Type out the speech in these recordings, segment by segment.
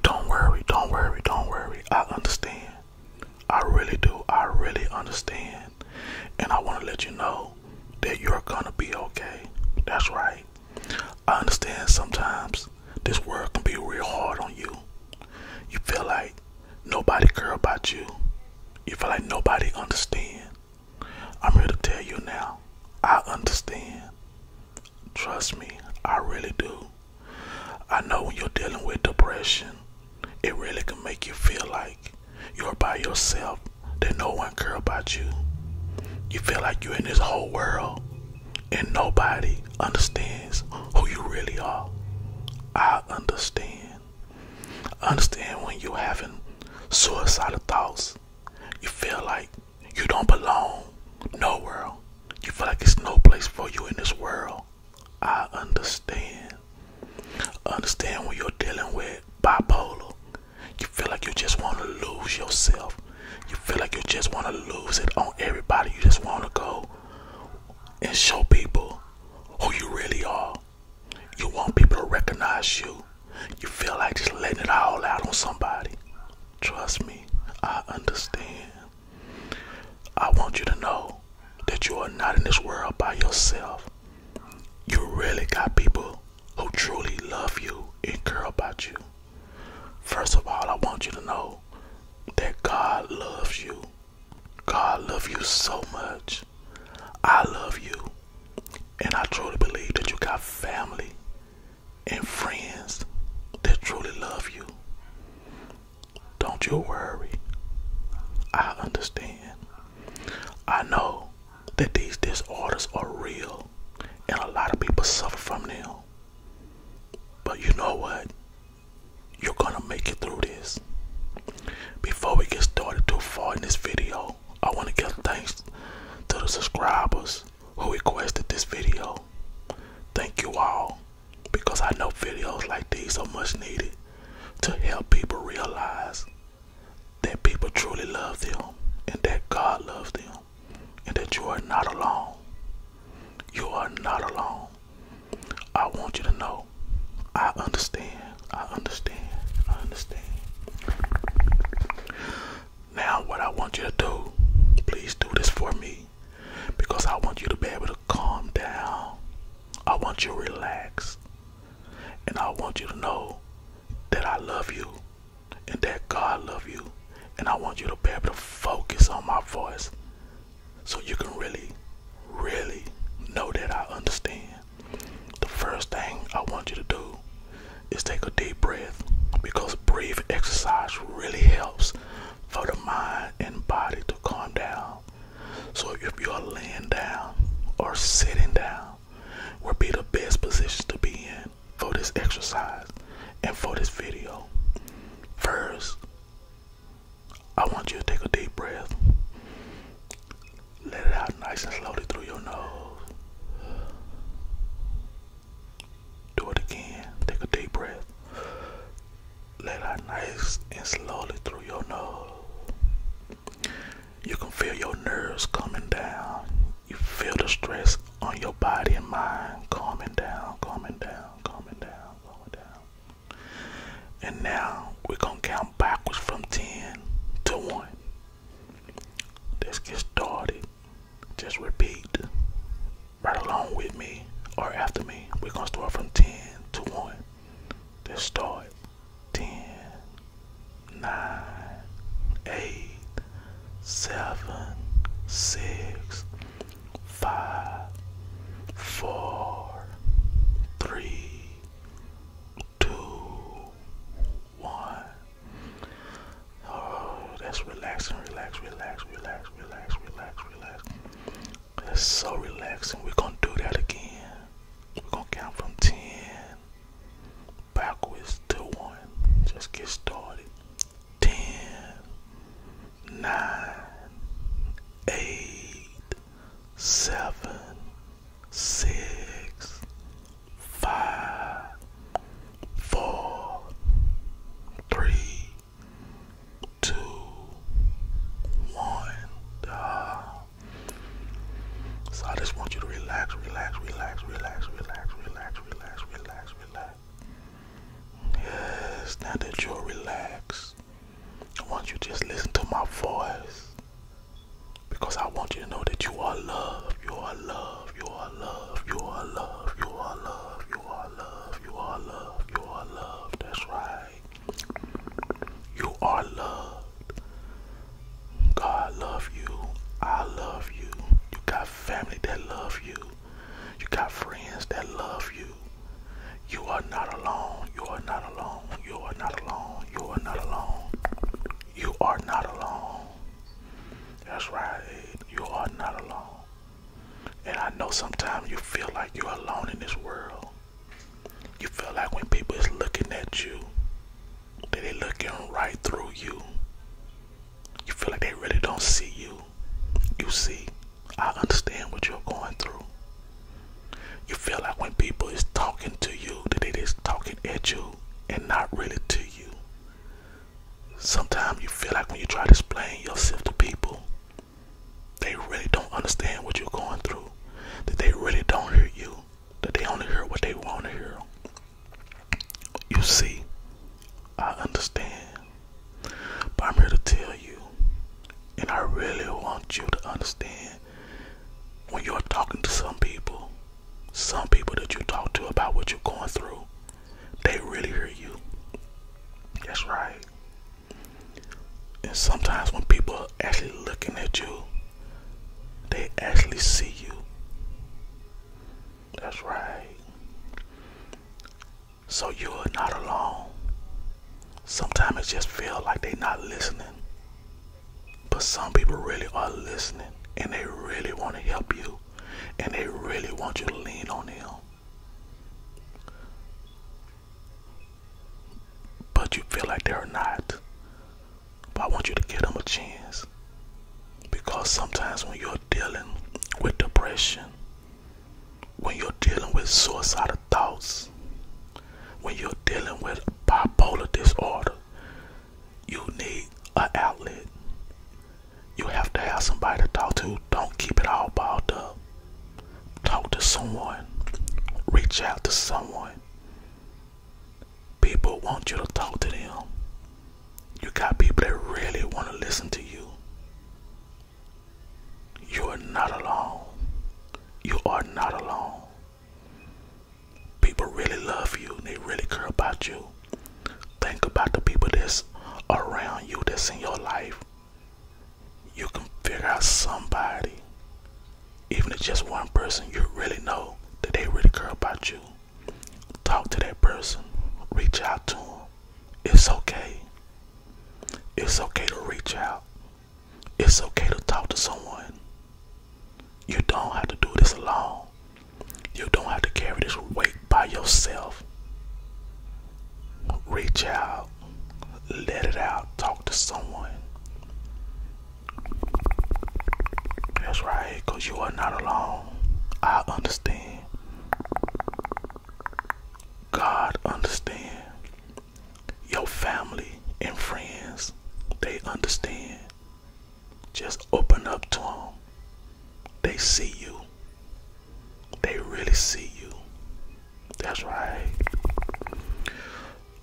Don't worry, don't worry, don't worry. I understand. I really do. I really understand. And I want to let you know that you're going to be okay. That's right. I understand sometimes this world can be real hard on you. You feel like nobody care about you. You feel like nobody understand. I'm here to tell you now. I understand. Trust me, I really do. I know when you're dealing with depression, it really can make you feel like you're by yourself, that no one care about you. You feel like you're in this whole world and nobody understands who you really are. I understand. Understand when you're having suicidal thoughts. You feel like you don't belong nowhere. You feel like it's no place for you in this world. I understand. Understand when you're dealing with bipolar. You feel like you just want to lose yourself. You feel like you just want to lose it on everybody. You just want to go and show people who you really are. You want people to recognize you you feel like just letting it all out on somebody. Trust me, I understand. I want you to know that you are not in this world by yourself. You really got people who truly love you and care about you. First of all, I want you to know that God loves you. God loves you so much. I love you. And I truly believe that you got family and friends that truly love you. Don't you worry. I understand. I know that these disorders are real and a lot of people suffer from them. But you know what? You're gonna make it through this. Before we get started too far in this video, I want to give thanks to the subscribers who requested this video. Thank you all because I know videos like these are much needed to help people realize that people truly love them and that God loves them and that you are not alone. You are not alone. I want you to know I understand I understand. I understand. Now, what I want you to do, please do this for me because I want you to be able to calm down. I want you to relax. And I want you to know that I love you and that God love you. And I want you to be able to focus on my voice so you can really, really know that I understand the first thing I want you to do is take a deep breath because breath exercise really helps for the mind and body to calm down. So if you are laying down or sitting down, will be the best positions to be in for this exercise and for this video. First, I want you to take a deep breath. Let it out nice and slowly through your nose. Do it again. Take a deep breath. Let it out nice and slowly through your nose. You can feel your nerves coming down. You feel the stress on your body and mind calming down, calming down, calming down, calming down. And now we're going to count backwards from 10 to 1. Let's get started. Just repeat right along with me or after me. We're gonna start from 10 to 1. Let's start 10, two, one. Oh, that's relaxing, relax, relax, relax, relax, relax, relax. That's so relaxing. We're gonna do that again. We're gonna count from ten backwards to one. Just get started. Ten, nine, eight, seven, six, five, four, three, two, one. Uh, so I just want you to relax, relax, relax, relax, relax, relax, relax, relax, relax. Yes, now that you're relaxed, I want you to just listen to my voice because I want you to know that you are loved. You are loved. You are loved. You are loved. You are loved. You are loved. You are loved. You are loved. That's right. You are loved. God love you. I love you. You got family that love you. You got friends that love you. You are not alone. You are not alone. You are not alone. You are not alone. You are not alone. That's right. You are not alone. And I know sometimes you feel like you're alone in this world. You feel like when people is looking at you, that they looking right through you. You feel like they really don't see you. You see, I understand what you're going through. You feel like when people is talking to you, that it is talking at you and not really to you. Sometimes you feel like when you try to explain yourself to people, they really don't understand what you're going through. That they really don't hear you. That they only hear what they want to hear. You see, I understand. But I'm here to tell you, and I really want you to understand when you're talking to some people, some people that you talk to about what you're going through, they really hear you. That's right. And sometimes when people are actually looking at you, they actually see you. That's right. So you are not alone. Sometimes it just feels like they are not listening. But some people really are listening and they really want to help you and they really want you to lean on them. But you feel like they're not. But I want you to give them a chance. Because sometimes when you're dealing with depression, when you're dealing with suicidal thoughts, when you're dealing with bipolar disorder, you need an outlet. You have to have somebody to talk to. Don't keep it all bottled up. Talk to someone. Reach out to someone. People want you to talk to them. You got people that really want to listen to you. You are not alone. You are not alone. People really love you. They really care about you. Think about the people that's around you, that's in your life. You can figure out somebody, even if just one person, you really know that they really care about you. Talk to that person, reach out to them. It's okay. It's okay to reach out. It's okay to talk to someone. You don't have to do this alone. You don't have to carry this weight by yourself. Reach out. Let it out. Talk to someone. That's right, because you are not alone. I understand. God understand. Your family and friends, they understand. Just open up to them. They see you. They really see you. That's right.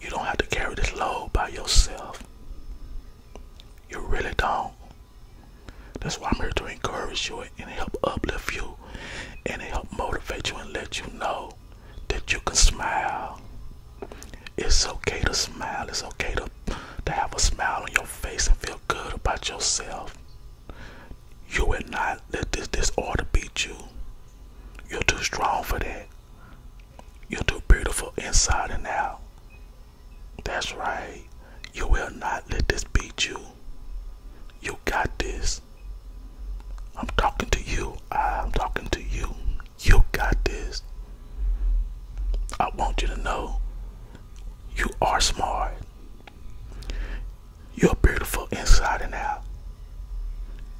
You don't have to carry this load by yourself. You really don't. That's why I'm here to encourage you and help uplift you and help motivate you and let you know that you can smile. It's okay to smile. It's okay to, to have a smile on your face and feel good about yourself. You will not let this disorder beat you. You're too strong for that. You're too beautiful inside and out. That's right. You will not let this beat you. You got this. I'm talking to you. I'm talking to you. You got this. I want you to know you are smart. You're beautiful inside and out.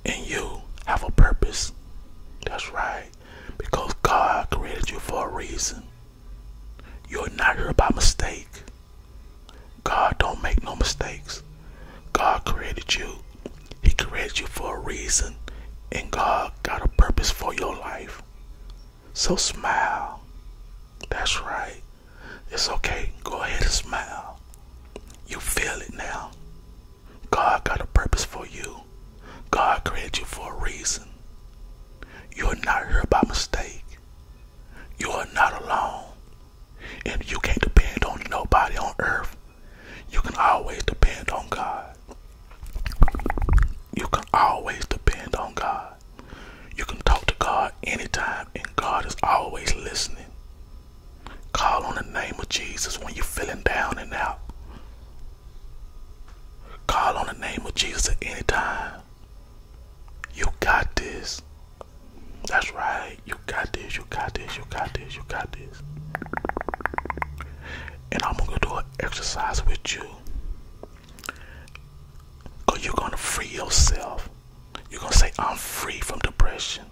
And you have a purpose. That's right. Because God created you for a reason. You're not here by mistake. God don't make no mistakes. God created you. He created you for a reason, and God got a purpose for your life. So smile. That's right. It's okay. Go ahead and smile. You feel it now. God got a purpose for you. God created you for a reason. You're not here by mistake. You are not alone. And you can't depend on nobody on earth. You can always depend on God. You can always depend on God. You can talk to God anytime, and God is always listening. Call on the name of Jesus when you're feeling down and out. Call on the name of Jesus at any you got this. That's right. You got this. You got this. You got this. You got this. And I'm gonna do an exercise with you. you you're gonna free yourself. You're gonna say, I'm free from depression.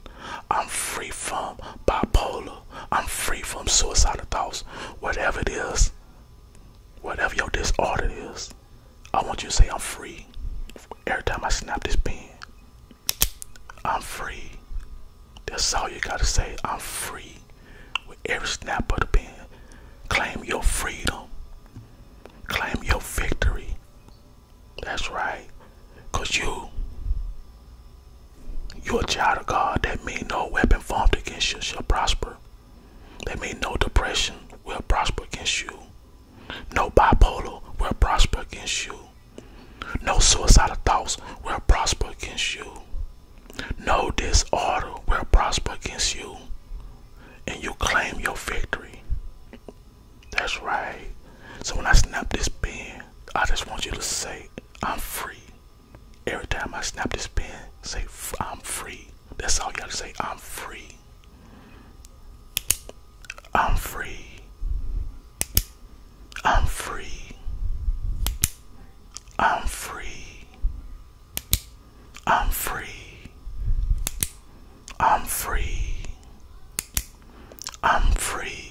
I'm free from bipolar. I'm free from suicidal thoughts. Whatever it is, whatever your disorder is, I want you to say, I'm free. Every time I snap this pen, I'm free. That's all you gotta say. I'm free. With every snap of the pen, claim your freedom, claim your victory. That's right. Cause you, you're a child of God. That mean no weapon formed against you shall prosper. That means no depression will prosper against you. No bipolar will prosper against you. No suicidal thoughts will prosper against you. No disorder will prosper against you. And you claim your victory. That's right. So when I snap this pen, I just want you to say, I'm free. Every time I snap this pen, say I'm free. That's all you gotta say. I'm free. I'm free. I'm free. I'm free. I'm free. I'm free. I'm free.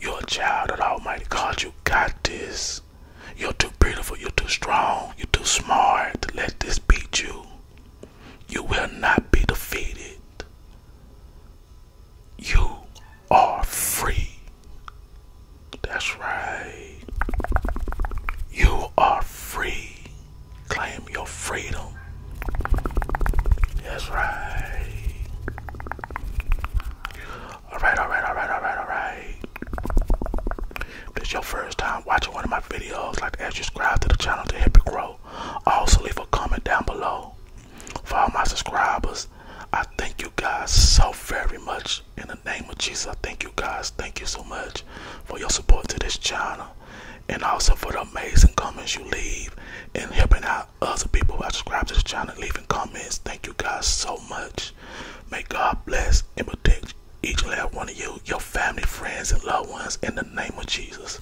You're a child of Almighty God. You got this. You're too beautiful. You're too strong. You're too smart to let this beat you. You will not be defeated. You are free. That's right. You are free. Claim your freedom. That's right. Alright, alright, alright, alright, alright. If it's your first time watching one of my videos, like to subscribe to the channel to help it grow. Also leave a comment down below. For all my subscribers, I thank you guys so very much. In the name of Jesus, I thank you guys. Thank you so much for your support to this channel and also for the amazing comments you leave and helping out other people who have subscribed to this channel, leaving comments. Thank you guys so much. May God bless and protect each and every one of you, your family, friends, and loved ones in the name of Jesus.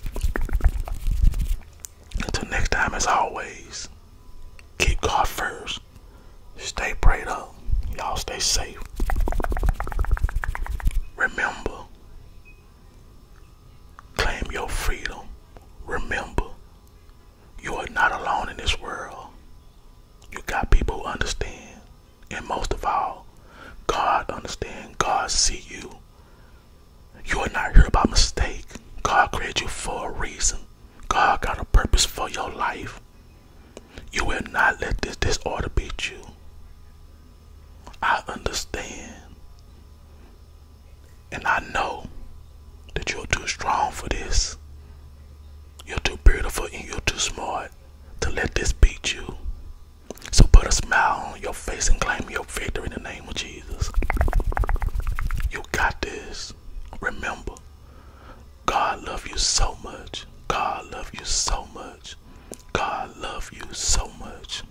Until next time, as always, keep God first. Stay prayed up. Y'all stay safe. Remember, claim your freedom. Remember, you are not alone in this world. You got people who understand. And most of all, God understands. God sees you. You are not here by mistake. God created you for a reason. God got a purpose for your life. You will not let this disorder beat you. I understand. And I know that you're too strong for this. You're too beautiful and you're too smart to let this beat you. So put a smile on your face and claim your victory in the name of Jesus. You got this. Remember, God love you so much. God love you so much. God love you so much.